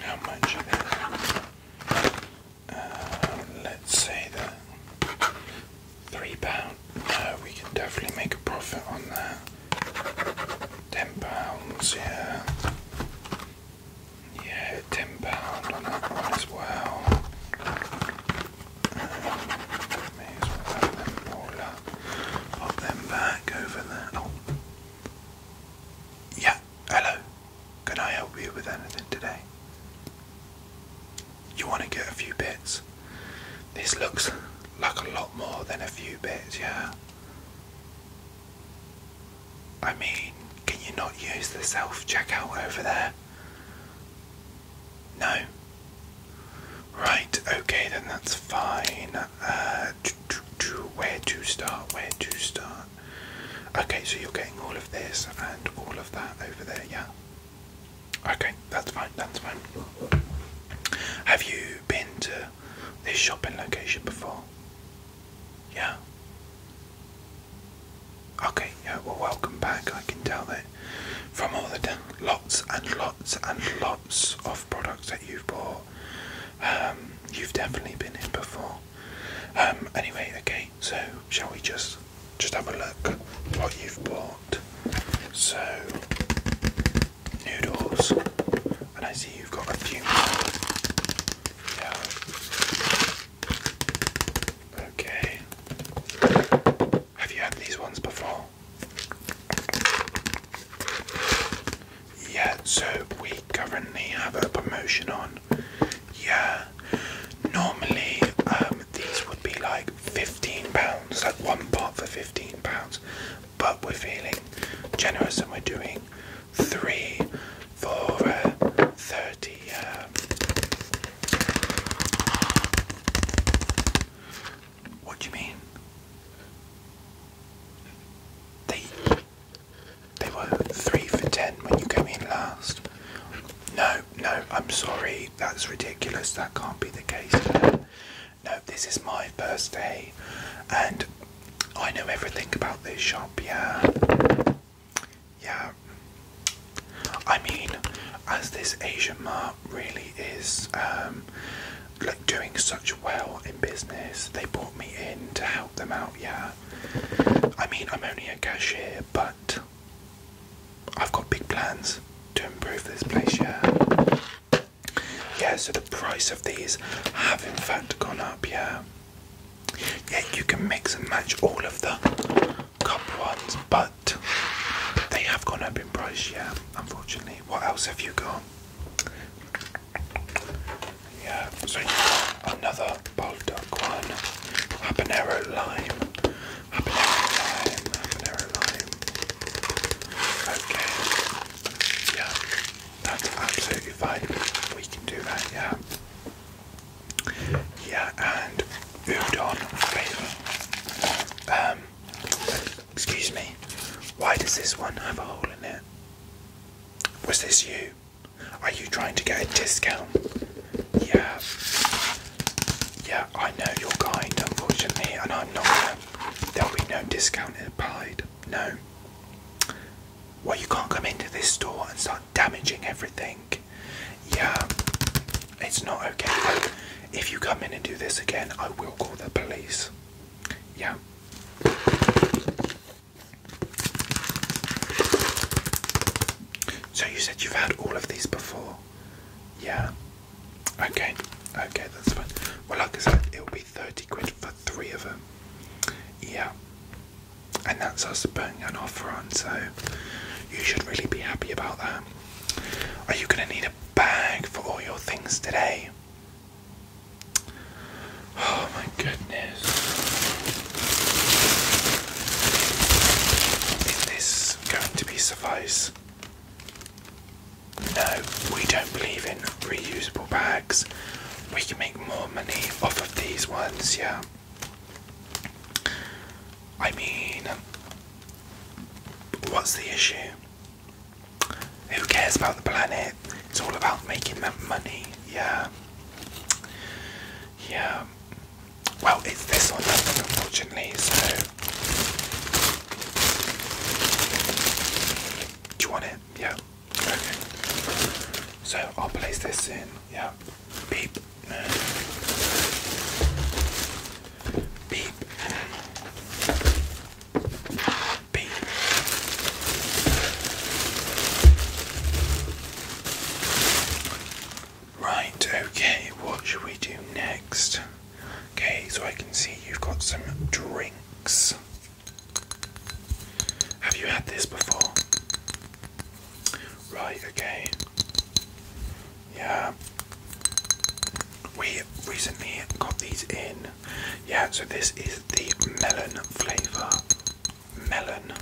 How much uh, let's say that three pound. No, we can definitely make a profit on that. Ten pounds, yeah. Yeah, ten pound on that one as well. Um, Pop them back over there. Oh. Yeah, hello. Can I help you with anything today? You want to get a few bits? This looks like a lot more than a few bits, yeah. I mean, can you not use the self checkout over there? No. Right, okay, then that's fine where to start, where to start. Okay, so you're getting all of this and all of that over there, yeah? Okay, that's fine, that's fine. Have you been to this shopping location before? Yeah? Okay, yeah, well, welcome back. I can tell that from all the lots and lots and lots of products that you've bought. Um, you've definitely been in before. Um, anyway, okay, so shall we just just have a look what you've bought? So noodles, and I see you've got a few Okay. Have you had these ones before? Yeah, so we currently have a promotion on. Yeah, normally um, these would be like £15, like one pot for £15, but we're feeling generous and we're doing three for uh, 30 um, what do you mean? They they were three for ten when you came in last. No, no, I'm sorry, that's ridiculous. That can't be the case. No, this is my first day, and I know everything about this shop. Yeah, yeah. I mean, as this Asian mom really is um, like doing such well in business. They brought me in to help them out. Yeah, I mean I'm only a cashier, but I've got big plans to improve this place. Yeah. Yeah, so the price of these have in fact gone up, yeah. Yeah, you can mix and match all of the cup ones, but they have gone up in price, yeah, unfortunately. What else have you got? Yeah, so you got another Baldock one. Habanero lime. Habanero lime. Habanero lime. Okay. Yeah. That's absolutely fine. We can do that, yeah. Yeah, and udon flavor. Um Excuse me. Why does this one have a hole in it? Was this you? Are you trying to get a discount? Yeah. Yeah, I know your kind, unfortunately, and I'm not There'll be no discount applied. No. Well, you can't come into this store and start damaging everything. Yeah, it's not okay. If you come in and do this again, I will call the police yeah. So you said you've had all of these before? Yeah. Okay, okay, that's fine. Well, like I said, it'll be 30 quid for three of them. Yeah. And that's us putting an offer on, so you should really be happy about that. Are you going to need a bag for all your things today? Oh my goodness. Is this going to be suffice? No, we don't believe in reusable bags. We can make more money off of these ones, yeah. I mean, what's the issue? Who cares about the planet? It's all about making that money. Yeah. Yeah. Well, it's this one, nothing, unfortunately, so. Do you want it? Yeah. Okay. So I'll place this in. Yeah. Beep. Beep. Right, okay, what should we do next? Okay, so I can see you've got some drinks. Have you had this before? Right, okay. Yeah, we recently got these in. Yeah, so this is the melon flavour. Melon.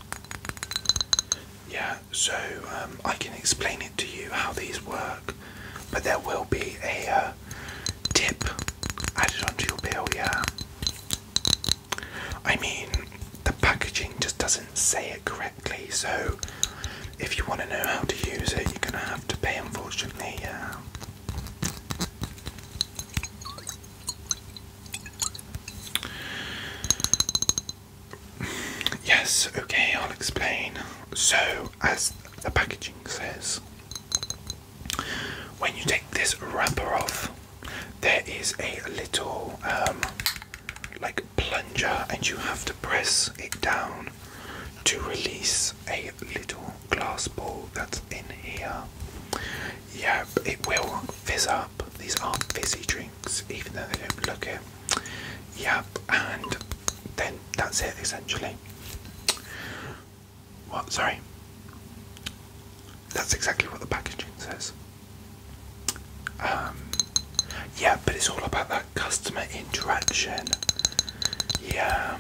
Yeah, so um, I can explain it to you how these work, but there will be a uh, tip added onto your bill, yeah. I mean, the packaging just doesn't say it correctly, so if you want to know how to use it, you're going to have to pay, unfortunately, yeah. Yes, okay, I'll explain. So, as the packaging says, when you take this wrapper off, there is a little um, like plunger, and you have to press it down to release a little glass ball that's in here. Yeah, it will fizz up. These are fizzy drinks, even though they don't look it. Yep, and then that's it essentially. What? Sorry. That's exactly what the packaging says. Um, yeah, but it's all about that customer interaction. Yeah,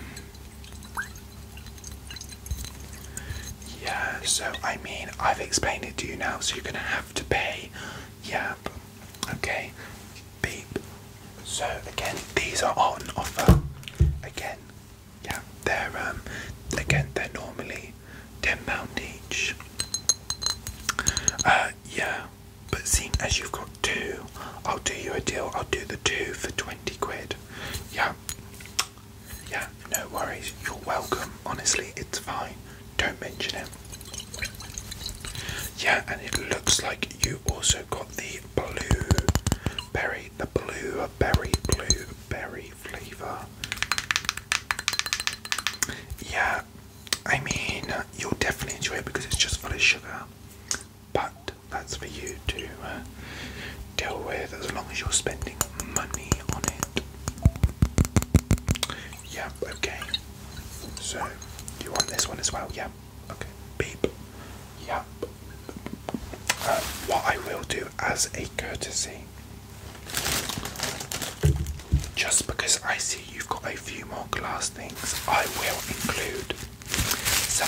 yeah, so I mean, I've explained it to you now, so you're gonna have to pay. Yeah. Okay. So again, these are on offer. Again, yeah, they're um, again they're normally ten pound each. Uh, yeah, but seeing as you've got two. I'll do you a deal. I'll do the two for 20 quid. Yeah. Yeah, no worries. You're welcome. Honestly, it's fine. Don't mention it. Yeah, and it looks like you also got the blue berry, the blue berry, blue berry flavour. Yeah, I mean, you'll definitely enjoy it because it's just full of sugar but that's for you to uh, deal with as long as you're spending money on it. Yeah, okay. So, you want this one as well? Yeah, okay. Beep. Yeah. Uh, what I will do as a courtesy, just because I see you've got a few more glass things, I will include yeah,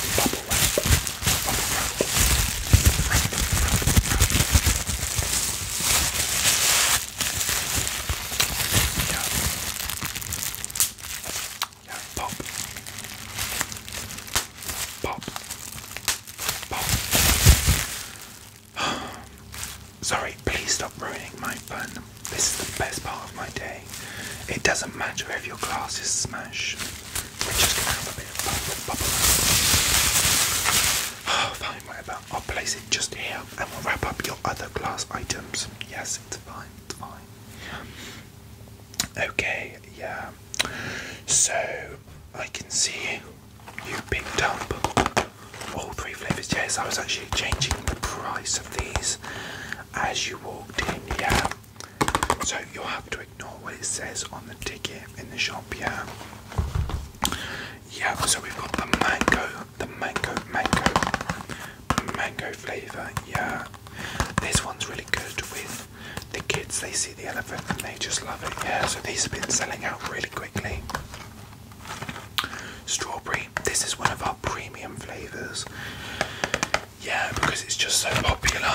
pop. Pop. Pop. Sorry, please stop ruining my fun. This is the best part of my day. It doesn't matter if your glass is smashed. We're just gonna have a bit of bubble, bubble. Oh, fine, whatever. I'll place it just here and we'll wrap up your other glass items. Yes, it's fine, it's fine. Okay, yeah. So, I can see you picked up all three flavours. Yes, I was actually changing the price of these as you walked in, yeah. So you'll have to ignore what it says on the ticket in the shop, yeah. Yeah, so we've got the mango, the mango, mango, mango flavour, yeah. This one's really good with the kids, they see the elephant and they just love it, yeah. So these have been selling out really quickly. Strawberry, this is one of our premium flavours yeah, because it's just so popular.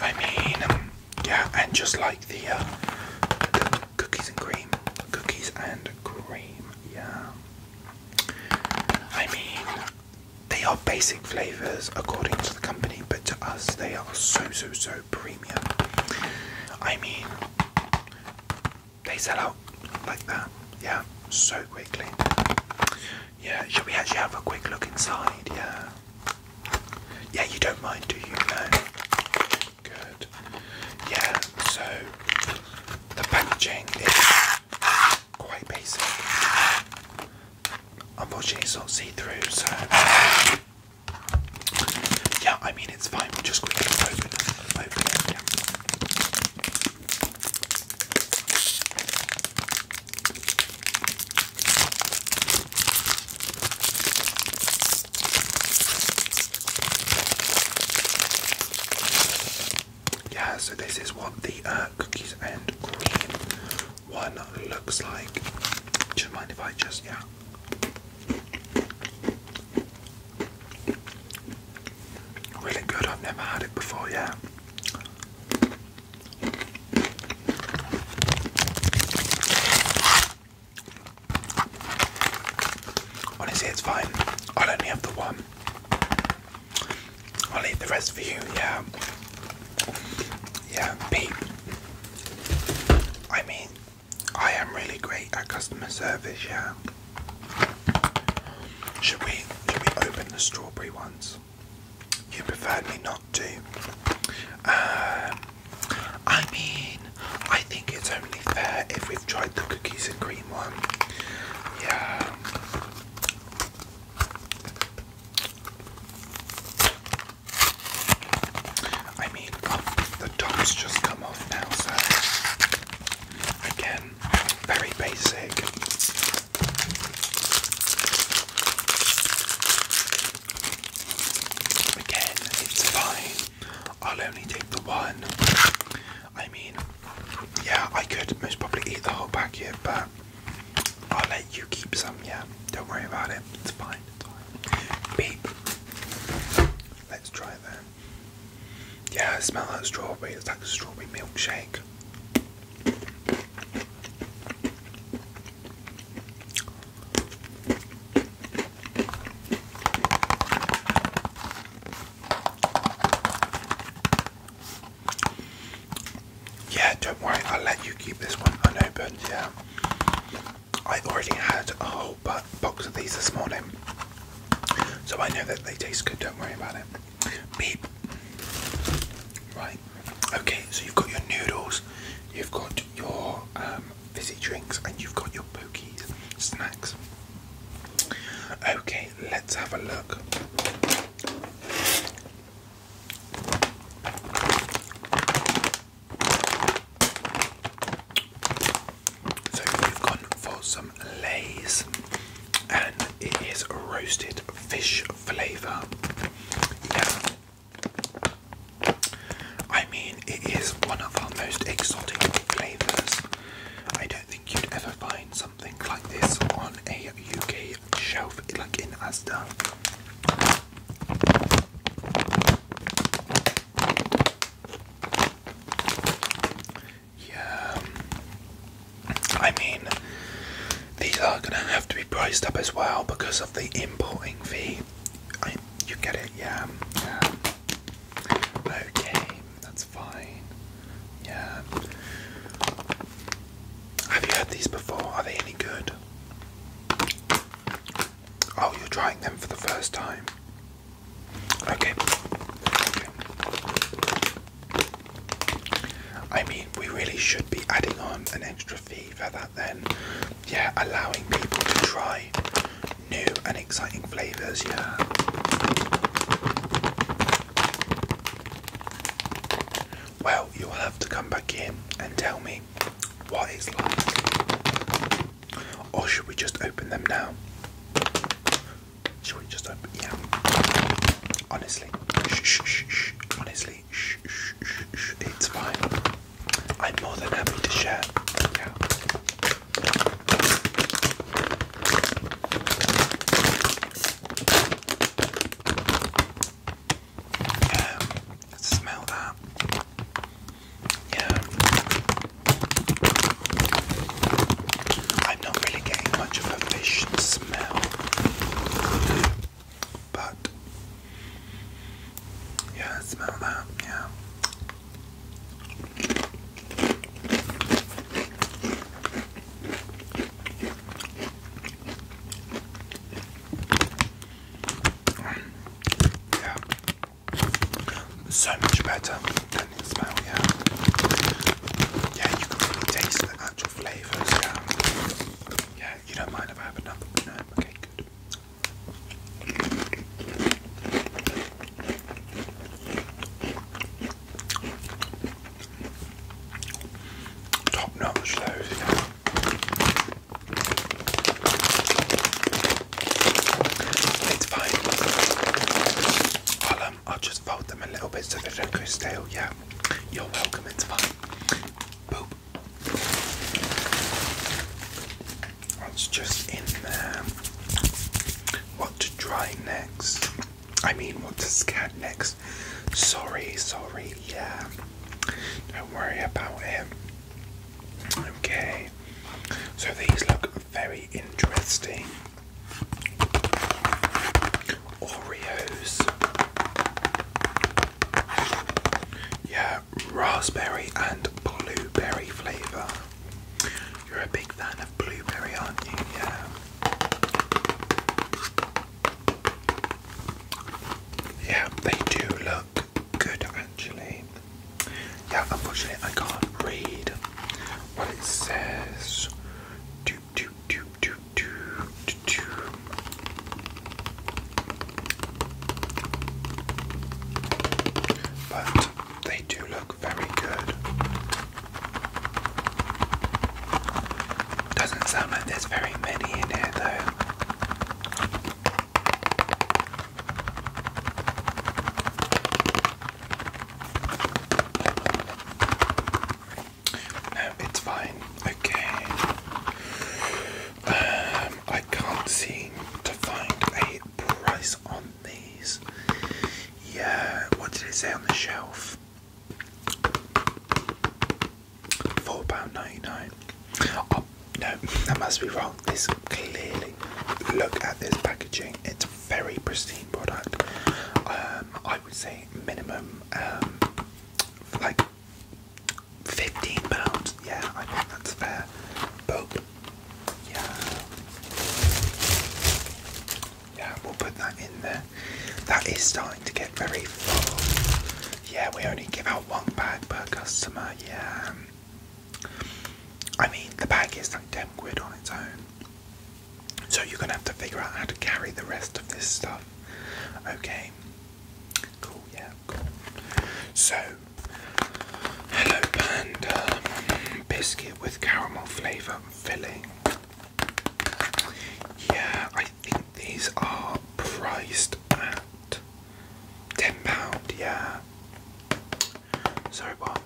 I mean, yeah, and just like the, the uh, cookies and cream, cookies and cream, yeah. I mean, they are basic flavors according to the company, but to us, they are so so so premium. I mean, they sell out like that, yeah, so quickly. Yeah, should we actually have a quick look inside? Yeah. Yeah, you don't mind, do you? No. Good. Yeah, so the packaging is quite basic. Unfortunately, it's not see through, so. Yeah, I mean, it's fine. We'll just quickly open it. Open yeah, so this is what the uh, cookies and cream one looks like. Do you mind if I just, yeah. Really good, I've never had it before, yeah. Honestly, it's fine. I'll only have the one. I'll eat the rest for you, yeah. Yeah, Pete. I mean, I am really great at customer service, yeah. Should we should we open the strawberry ones? you prefer me not to. Uh, I mean, I think it's only fair if we've tried the cookies and cream one. Yeah. I mean, oh, the top's just come off now, so again, very basic. Again, it's fine. I'll only take the one. I mean, yeah, I could most probably eat the whole packet, but I'll let you keep some, yeah. Don't worry about it. It's fine. It's fine. Beep. Let's try it then. Yeah, smell that strawberry. It's like a strawberry milkshake. Yeah, don't worry, I'll let you keep this one unopened, yeah. I already had a whole box of these this morning, so I know that they taste good, don't worry about it. Right. Okay, so you've got your noodles, you've got your um, fizzy drinks, and you've got your pokies, snacks. Okay, let's have a look. So we've gone for some lays, and it is roasted fish flavor. Yeah. I mean, it is one of our most exotic flavors. I don't think you'd ever find something like this on a UK shelf, like in Asda. Yeah. I mean, these are going to have to be priced up as well because of the importing fee. I, you get it, yeah. Okay, that's fine. Yeah. Have you had these before? Are they any good? Oh, you're trying them for the first time. okay. I mean, we really should be adding on an extra fee for that then. Yeah, allowing people to try new and exciting flavours, yeah. Well, you'll have to come back in and tell me what it's like. Or should we just open them now? Should we just open? Yeah. Honestly, shh, shh, shh, honestly, shh, shh, shh, it's fine. I'm more than happy to share. Yeah. Yeah, um, smell that. Yeah. I'm not really getting much of a fish smell, but yeah, smell that, yeah. Yeah, so much better than it smell, yeah yeah, you can really taste the actual flavours. Yeah. yeah, you don't mind if I have another one? No, okay, good. Top notch, those. It's fine. I'll, um, I'll just fold them a little bit so they don't go stale. Yeah, you're welcome. It's fine. What's just in there. What to try next? I mean, what to scan next? Sorry, sorry. Yeah, don't worry about him. Okay, so these look very interesting. Oreos. Yeah, raspberry and blueberry flavour. You're a big fan of blueberry, aren't you? Yeah. Yeah, they do look good actually. Yeah, unfortunately I can't read what it says do, do, do, do, do, do. But they do look very good. Doesn't sound like there's very many in here though. No, it's fine. Okay. Um, I can't seem to find a price on these. Yeah, what did it say on the shelf? £4.99. Oh, no, that must be wrong. This clearly, look at this packaging. It's a very pristine product. Um, I would say minimum um, like fifteen pounds. Yeah, I think that's fair. Boop. Yeah. Yeah, we'll put that in there. That is starting to get very full. Yeah, we only give out one bag per customer. Yeah. I mean, the bag is like 10 quid on its own. So you're gonna have to figure out how to carry the rest of this stuff. Okay. Cool, yeah, cool. So hello panda biscuit with caramel flavour filling. Yeah, I think these are priced at ten pound, yeah. Sorry what?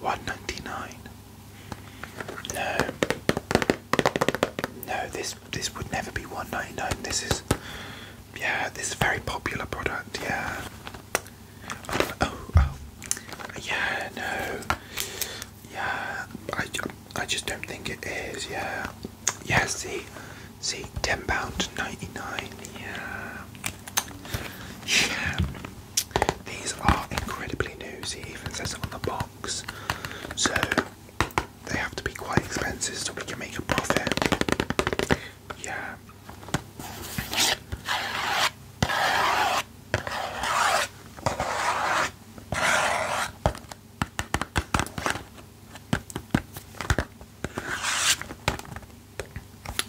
One ninety nine. No. No, this this would never be one ninety nine. This is yeah, this is a very popular product, yeah. Oh, oh, oh, yeah, no. Yeah, I, I just don't think it is, yeah. Yeah, see, see, £10.99, yeah. Yeah, these are incredibly new, see, even says it on the box so they have to be quite expensive so we can make a profit. Yeah.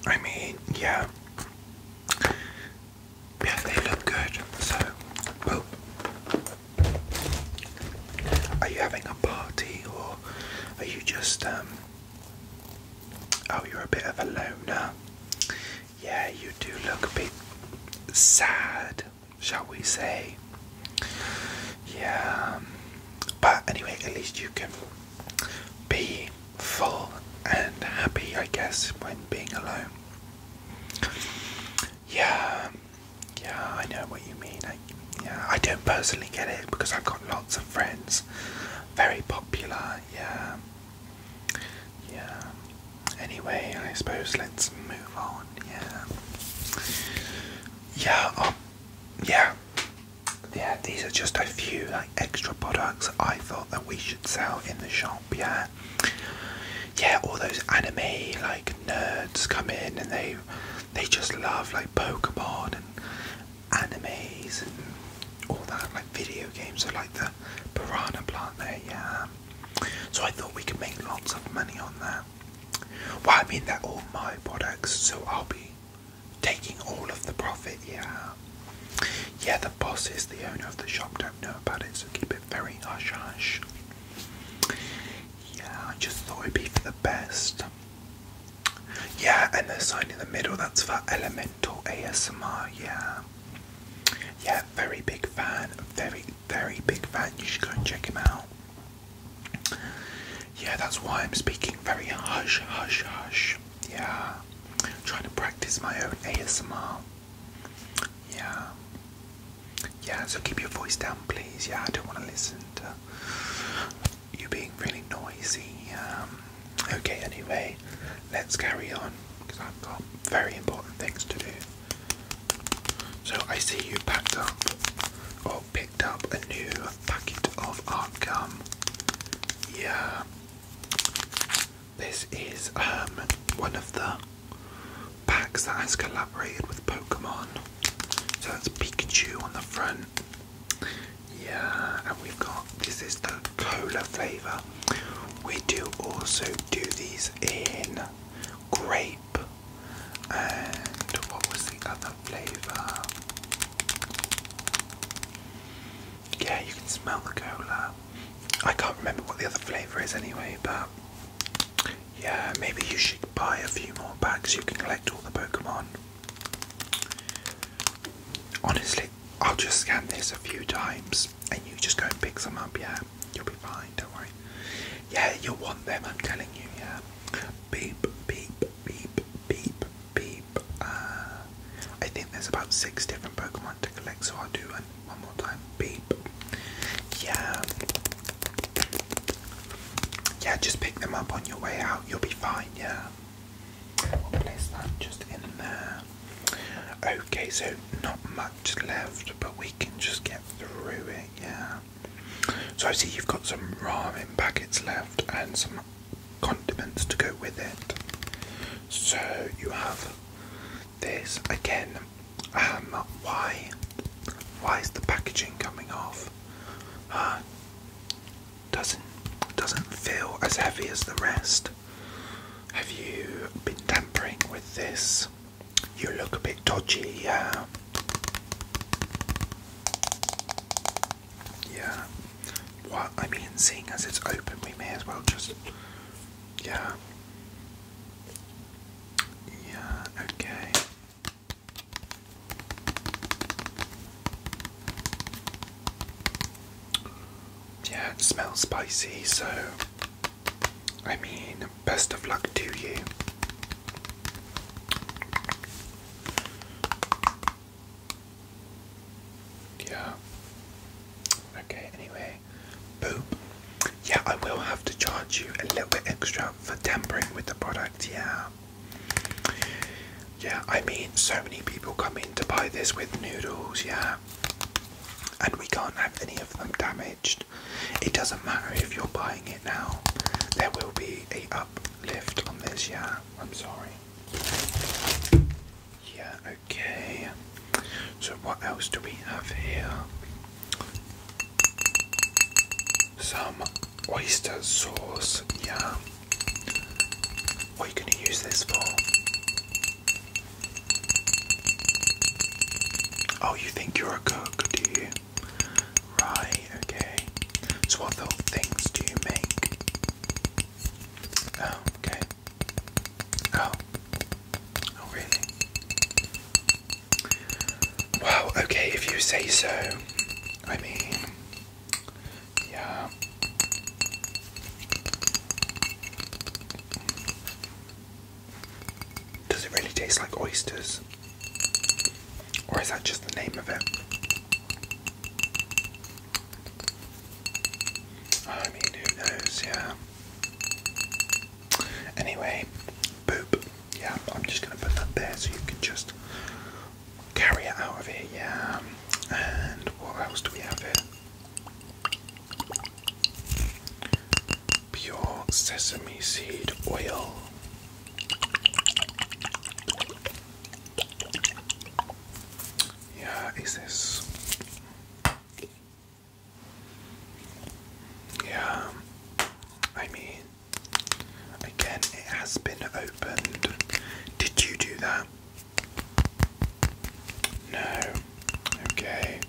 I mean, yeah, yeah, they look good. So, well, are you having a party or are you just, um, oh, you're a bit of a loner? Yeah, you do look a bit sad, shall we say? Yeah, um, but anyway, at least you can be full and happy, I guess, when being alone. Yeah, yeah, I know what you mean. I, yeah, I don't personally get it because I've got lots of friends, very popular. Yeah, yeah. Anyway, I suppose let's move on. Yeah, yeah, um, yeah, yeah. These are just a few like extra products I thought that we should sell in the shop yeah. Yeah, all those anime like nerds come in and they they just love like Pokemon and animes and all that like video games. So like the piranha plant there, yeah. So I thought we could make lots of money on that. Well, I mean, they're all my products, so I'll be taking all of the profit, yeah. Yeah, the boss is the owner of the shop, don't know about it, keep it very hush hush. Yeah, I just thought it'd be for the best. Yeah, and the sign in the middle, that's for Elemental ASMR, yeah. Yeah, very big fan, very, very big fan. You should go and check him out. Yeah, that's why I'm speaking very hush, hush, hush. Yeah, I'm trying to practice my own ASMR. Yeah. Yeah, so keep your voice down, please. Yeah, I don't want to listen to you being really noisy. Um, okay, anyway, let's carry on because I've got very important things to do. So I see you packed up or picked up a new packet of art gum. Yeah. This is um, one of the packs that has collaborated with Pokemon. So that's Pikachu on the front. Yeah, and we've got this is the cola flavour. We do also do these in grape. And what was the other flavour? Yeah, you can smell the cola. I can't remember what the other flavour is anyway, but yeah, maybe you should buy a few more bags. You can collect all the Pokemon. Honestly, I'll just scan this a few times and you just go and pick some up, yeah. You'll be fine, don't worry. Yeah, you'll want them, I'm telling you, yeah. Beep, beep, beep, beep, beep. Uh, I think there's about six different Pokemon to collect, so I'll do an one more time. Beep. Yeah. Yeah, just pick them up on your way out. You'll be fine, yeah. place that just in there. Okay, so not much left, but we can just get through it, yeah. So I see you've got some ramen packets left and some condiments to go with it. So you have this again. Um, why? Why is the packaging coming off? Uh, doesn't doesn't feel as heavy as the rest. Have you been tampering with this? You look a bit dodgy, yeah. Yeah. What I mean, seeing as it's open, we may as well just. Yeah. Yeah, okay. Yeah, it smells spicy, so I mean, best of luck to you. Yeah. Okay, anyway okay? Yeah, I will have to charge you a little bit extra for tampering with the product, yeah. Yeah, I mean, so many people come in to buy this with noodles, yeah. And we can't have any of them damaged. It doesn't matter if you're buying it now. There will be a uplift on this, yeah. I'm sorry. Yeah, okay. So, what else do we have here? Some oyster sauce, yeah. What are you going to use this for? Oh, you think you're a cook, do you? Right, okay. So, what things do you make? Oh, okay. Oh. Oh, really? Wow, okay, if you say so. I mean, yeah. Does it really taste like oysters? Or is that just the name of it? I mean, who knows, yeah. Anyway, boop. Yeah, I'm just going to put that there so you can just carry it out of here. Yeah. And what else do we have here? Pure sesame seed oil. Yeah, is this? Yeah, I mean, again, it has been opened. Did you do that? No. Okay.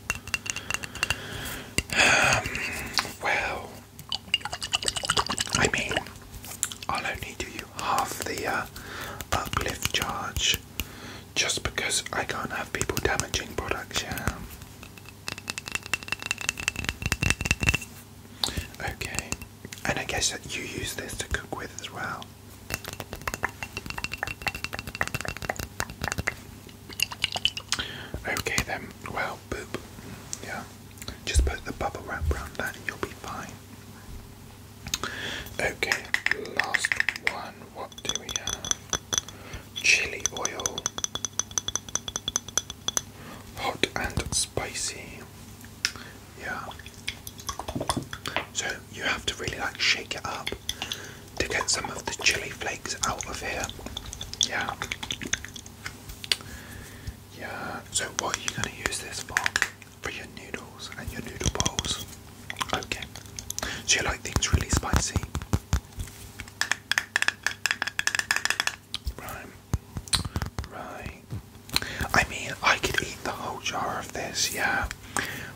Um, well, I mean, I'll only do you half the uh, uplift charge just because I can't have people damaging products, yeah. Okay, and I guess that you use this to cook with as well. Okay then, well, boop, yeah. Just put the bubble wrap around that and you'll be fine. Okay, last one, what do we have? chili oil, hot and spicy. Yeah. So you have to really like shake it up to get some of the chili flakes out of here. Yeah. Yeah. So what are you going to use this for? For your noodles and your noodle bowls. Okay. So you like things really spicy? Right. Right. I mean, I could eat the whole jar of this, yeah.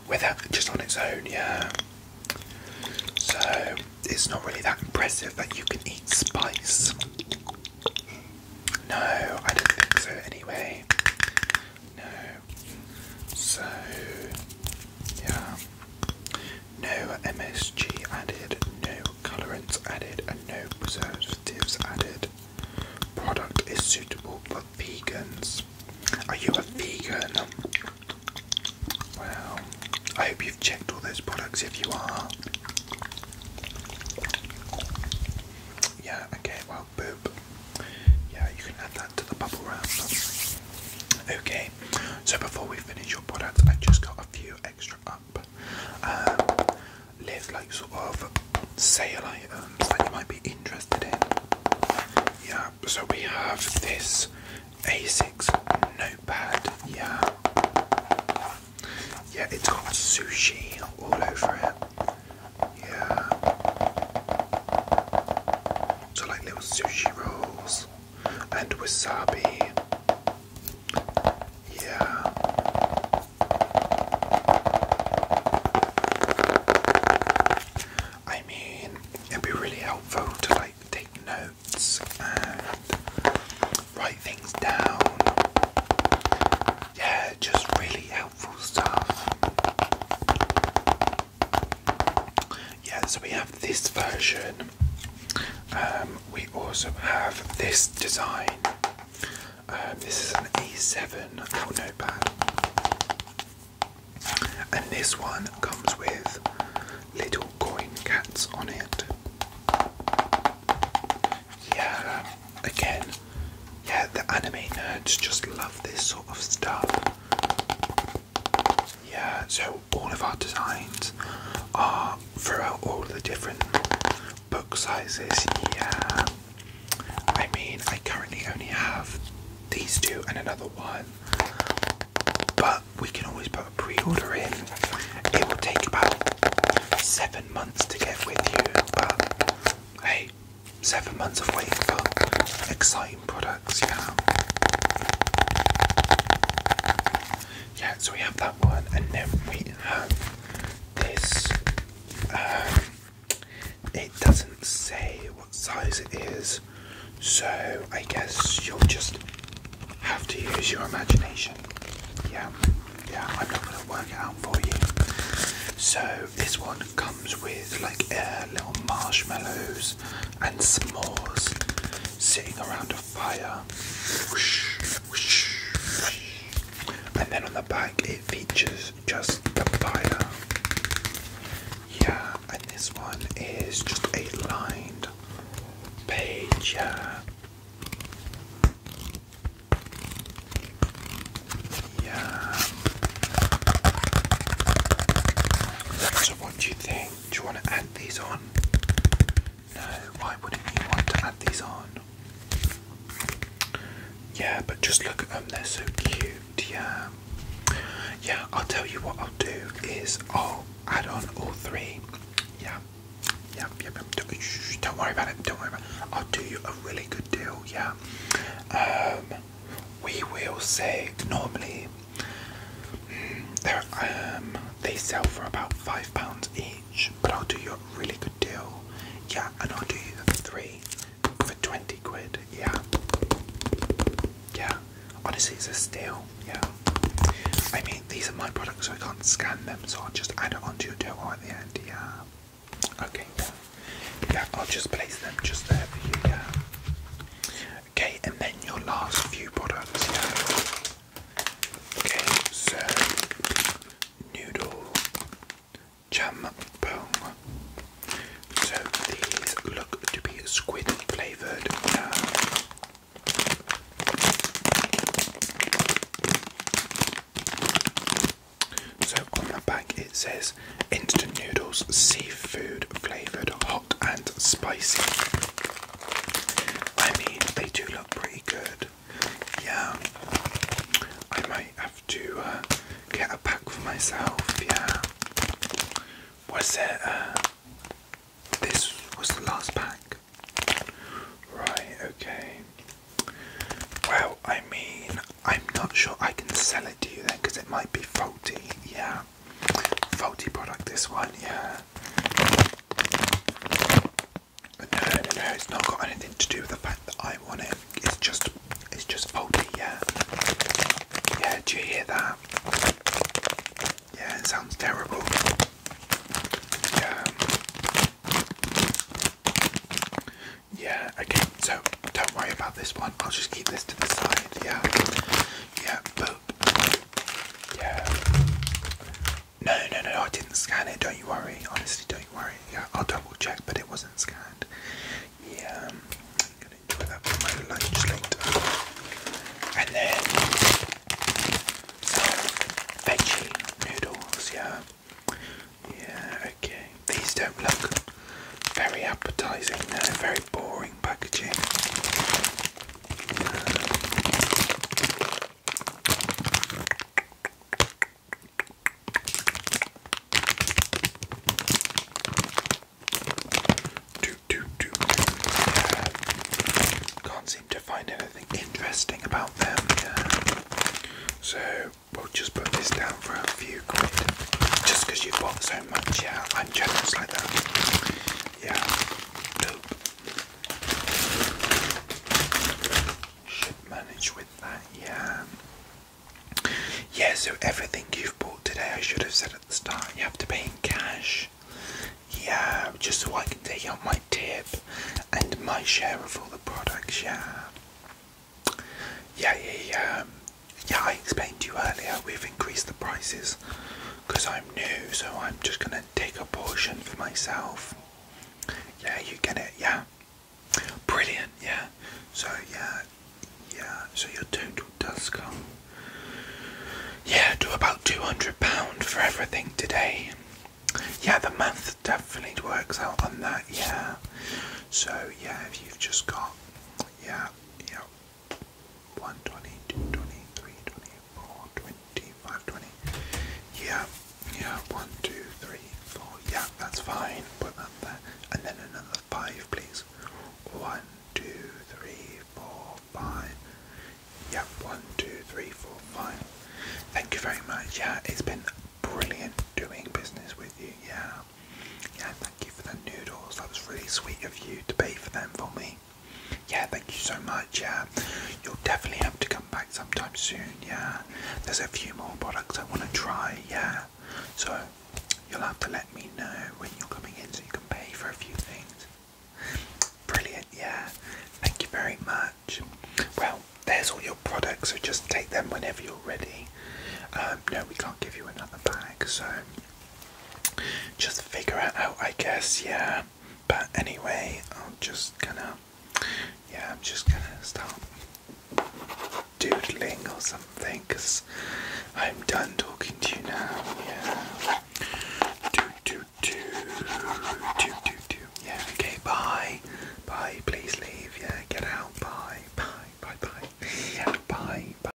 Without just on its own, yeah. So it's not really that impressive that you can eat spice. No, I don't think so anyway. No. So yeah. No MSG added, no colorants added, and no preservatives added. Product is suitable for vegans. Are you a vegan? Well, I hope you've checked all those products if you are. Yeah, okay, well, boop. Yeah, you can add that to the bubble wrap. Okay, so before we finish your product, I have just got a few extra up. Um, live like sort of sale items that you might be interested in. Yeah, so we have this A6 notepad. Yeah, yeah, it's got sushi all over it. Yeah, so like little sushi rolls and wasabi. Yeah. I mean, it'd be really helpful to like take notes and write things down. Yeah, just really helpful stuff. Yeah, so we have this version. Um, we also have this design. Um, this is an A7 Apple notepad. And this one comes with little coin cats on it. Yeah, again, yeah, the anime nerds just love this sort of stuff. Yeah, so all of our designs are throughout all the different book sizes. Yeah, I mean, I currently only have these two and another one, but we can always put a pre order in. It will take about seven months to get with you, but hey, seven months of waiting for excitement cleaning products, yeah. Yeah, so we have that one, and then we have this. Um, it doesn't say what size it is, so I guess you'll just have to use your imagination. Yeah, yeah, I'm not gonna work it out for you. So, this one comes with like uh, little marshmallows crackers and s'mores sitting around a fire. And then on the back it features just the fire. Yeah, and this one is just a lined page. Yeah. Yeah. So what do you think? do you want to add these on? No, why wouldn't you want to add these on? Yeah, but just look at them, they're so cute, yeah. Yeah, I'll tell you what I'll do is I'll add on all three. Yeah, yeah, yeah, don't worry about it, don't worry about it. I'll do you a really good deal, yeah. Um, we will say normally mm, um, they sell for about five pounds each, but I'll do you a really good deal. Yeah, and I'll do you three for twenty quid. Yeah, yeah. Honestly, it's a steal. Yeah. I mean, these are my products, so I can't scan them, so I'll just add it onto your total at the end. Yeah. Okay. Yeah, I'll just place them just there for you. Yeah. Okay, and then your last few products. Yeah. Okay, so noodle jampong. So these look to be squid flavored. So on the back it says instant noodles, seafood flavoured, hot and spicy. I mean, they do look pretty good. Yeah, I might have to uh, get a pack for myself. Yeah, was it? Uh, this was the last pack. Right, okay. Well, I mean, I'm not sure I can sell it to you then because it might be faulty, yeah faulty product this one, yeah. no, no, no, it's not got anything to do with the fact that I want it. It's just, it's just faulty, yeah. Yeah, do you hear that? Yeah, it sounds terrible. Yeah. Yeah, okay, so don't worry about this one. I'll just keep this to the side, yeah. Yeah, boop. Yeah. No, no, no, I didn't scan it. Don't you worry. Honestly, don't you worry. Yeah, I'll double check, but it wasn't scanned. Yeah, I'm um, gonna enjoy that for my lunch later. And then some veggie noodles. Yeah. Yeah. Okay. These don't look very appetizing and very boring packaging. Can't seem to find anything interesting about them. So we'll just put this down for a few quid. Just because you bought so yeah, I'm like that. Yeah, Should manage with that. Yeah. Yeah. So everything you've bought today, I should have said at the start, you have to pay in cash. Yeah, just so I can take out my tip and my share of all the products. Yeah. Yeah, yeah, yeah yeah, I explained to you earlier, we've increased the prices because I'm new, so I'm just gonna take a portion for myself. Yeah, you get it, yeah. Brilliant, yeah. So yeah, yeah, so your total does come yeah to about two hundred pound for everything today. Yeah, the math definitely works out on that, yeah. So yeah, if you've just got yeah, yeah, 120, 223, 24, 25, 20. Yeah, yeah, 1, 2, 3, 4. Yeah, that's fine. Put that there. And then another 5, please. 1, 2, 3, 4, 5. Yeah, 1, 2, 3, 4, 5. Thank you very much. Yeah, it's been brilliant doing business with you. Yeah, yeah, thank you for the noodles. That was really sweet of you to pay for them for me. Yeah, thank you so much. Yeah, you'll definitely have to come back sometime soon. Yeah, there's a few more products I want to try. Yeah, so you'll have to let me know when you're coming in so you can pay for a few things. Brilliant. Yeah, thank you very much. Well, there's all your products, so just take them whenever you're ready. Um, no, we can't give you another bag, so just figure it out, I guess, yeah. But anyway, I'm just gonna, yeah, I'm just gonna start doodling or something because I'm done talking to you now, yeah. Do, do, do, do, do, do, yeah, okay, bye, bye, please leave, yeah, get out, bye, bye, bye, bye, yeah, bye, bye.